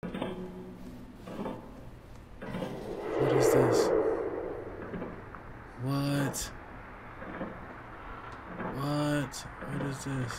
What is this? What? What? What is this?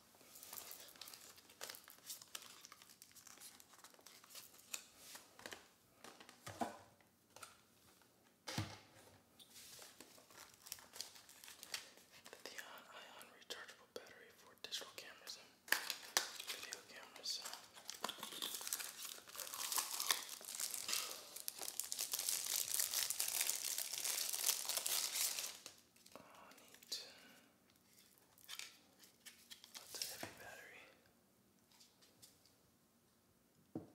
The uh, ion rechargeable battery for digital cameras and video cameras. Uh. Oh, neat. That's a heavy battery. Um, battery.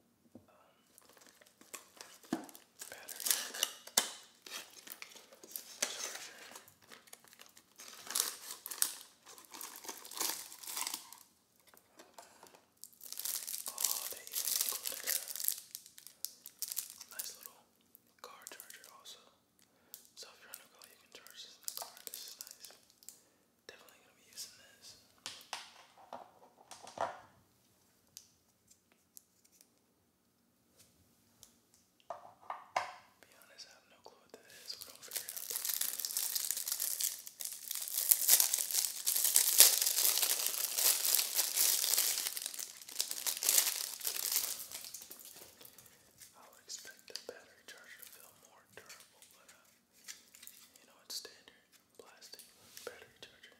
Oh, they even included nice little car charger also. So if you're on the go, you can charge this in the car. This is nice. Definitely gonna be using this. Be honest, I have no clue what that is. We're gonna figure it out. I will expect the battery charger to feel more durable, but uh, you know, it's standard plastic battery charger.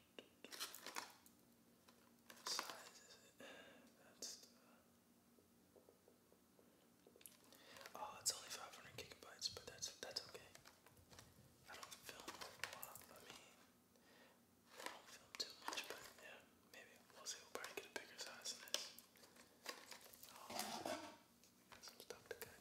that's uh, uh, Oh, it's only 500 gigabytes, but that's that's okay. I don't film a lot. I mean, don't film too much, but yeah, maybe we'll see. We'll probably get a bigger size than this. Oh, some stuff to cut.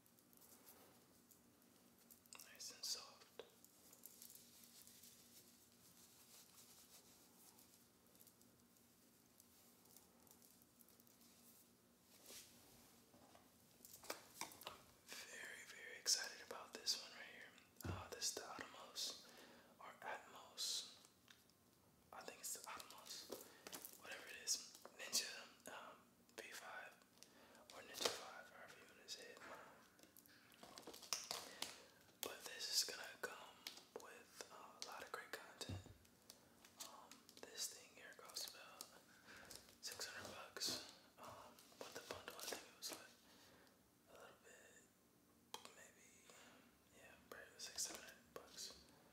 Nice and soft. very, very excited about this one right here. Uh, this the Atomos or Atmos. I think it's the Atomos, whatever it is. Ninja um, V5 or Ninja 5, however you want to say it. But this is gonna come with uh, a lot of great content. Um, this thing here costs about 600 bucks. Um, with the bundle, I think it was like a little bit, maybe, yeah, probably 600 bucks.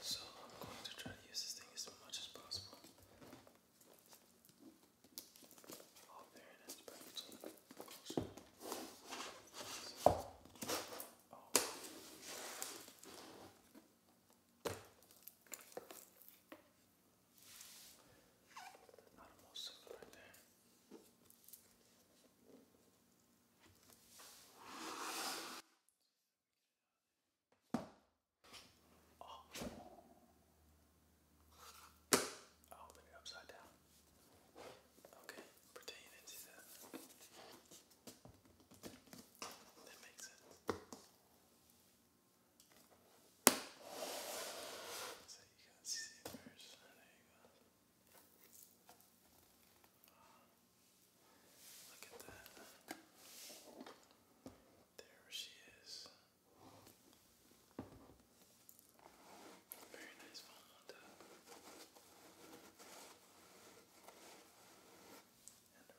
So I'm going to try to use this thing as much as possible. Oh, there it is, oh. Not a most right there. Oh. I'll open it upside down. Okay, pretend you that. That makes sense. So you can see it first. There you go. Look at that. There she is. Very nice phone montage. And around. Uh, and I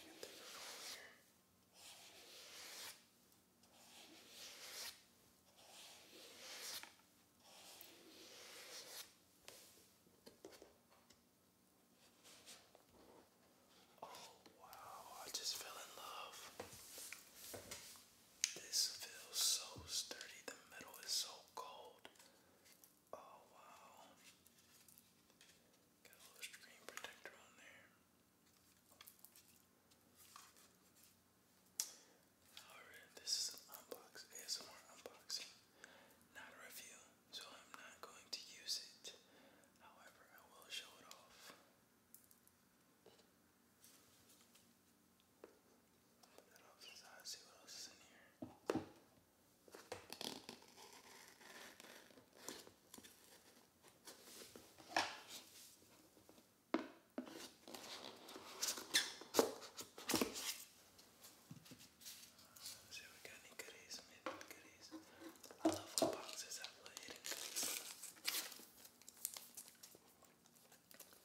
can take her over here. Oh, wow, I just fell in love. This feels so sturdy, the metal is so cold. Oh, wow. Got a little screen protector on there. Alright, this is an unbox ASMR unboxing, not a review, so I'm not going to use it. However, I will show it off. Put See we got goodies, maybe goodies. I love what boxes have little hidden goodies.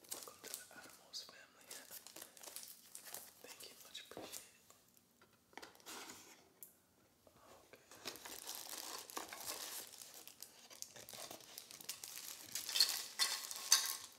Welcome to the Outermost family. Thank you, much appreciated. Okay.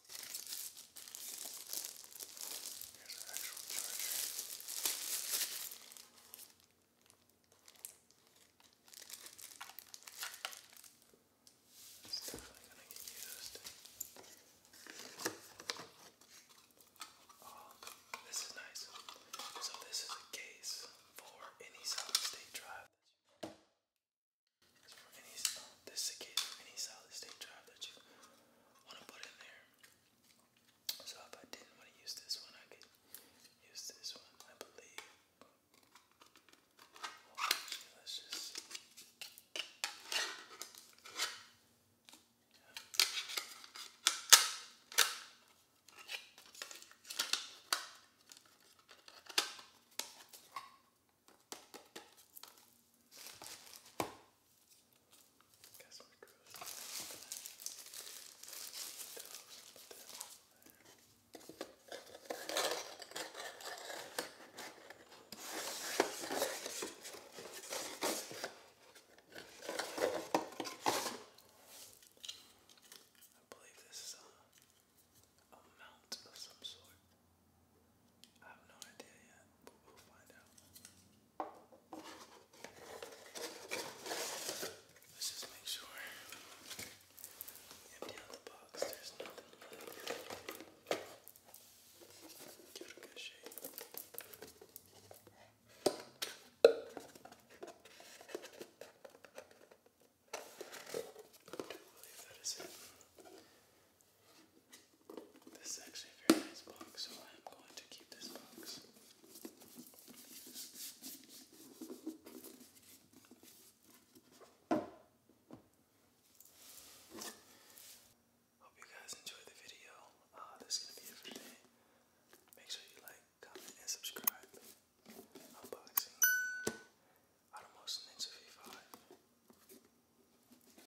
Here's this is nice. So this is a case for any solid-state drive. this is a case for any solid-state drive that you want to put in there. So if I didn't want to use this one, I could use this one, I believe. let's just Got some screws. I believe this is a, a mount of some sort. I have no Let's just make sure. Empty out the box, there's nothing left. Give it a good shake. I do believe that is it. This is actually a very nice box, so I'm going to keep this box. Hope you guys enjoyed the video. Uh, this going to be it Make sure you like, comment, and subscribe. Unboxing Automotion Ninja V5.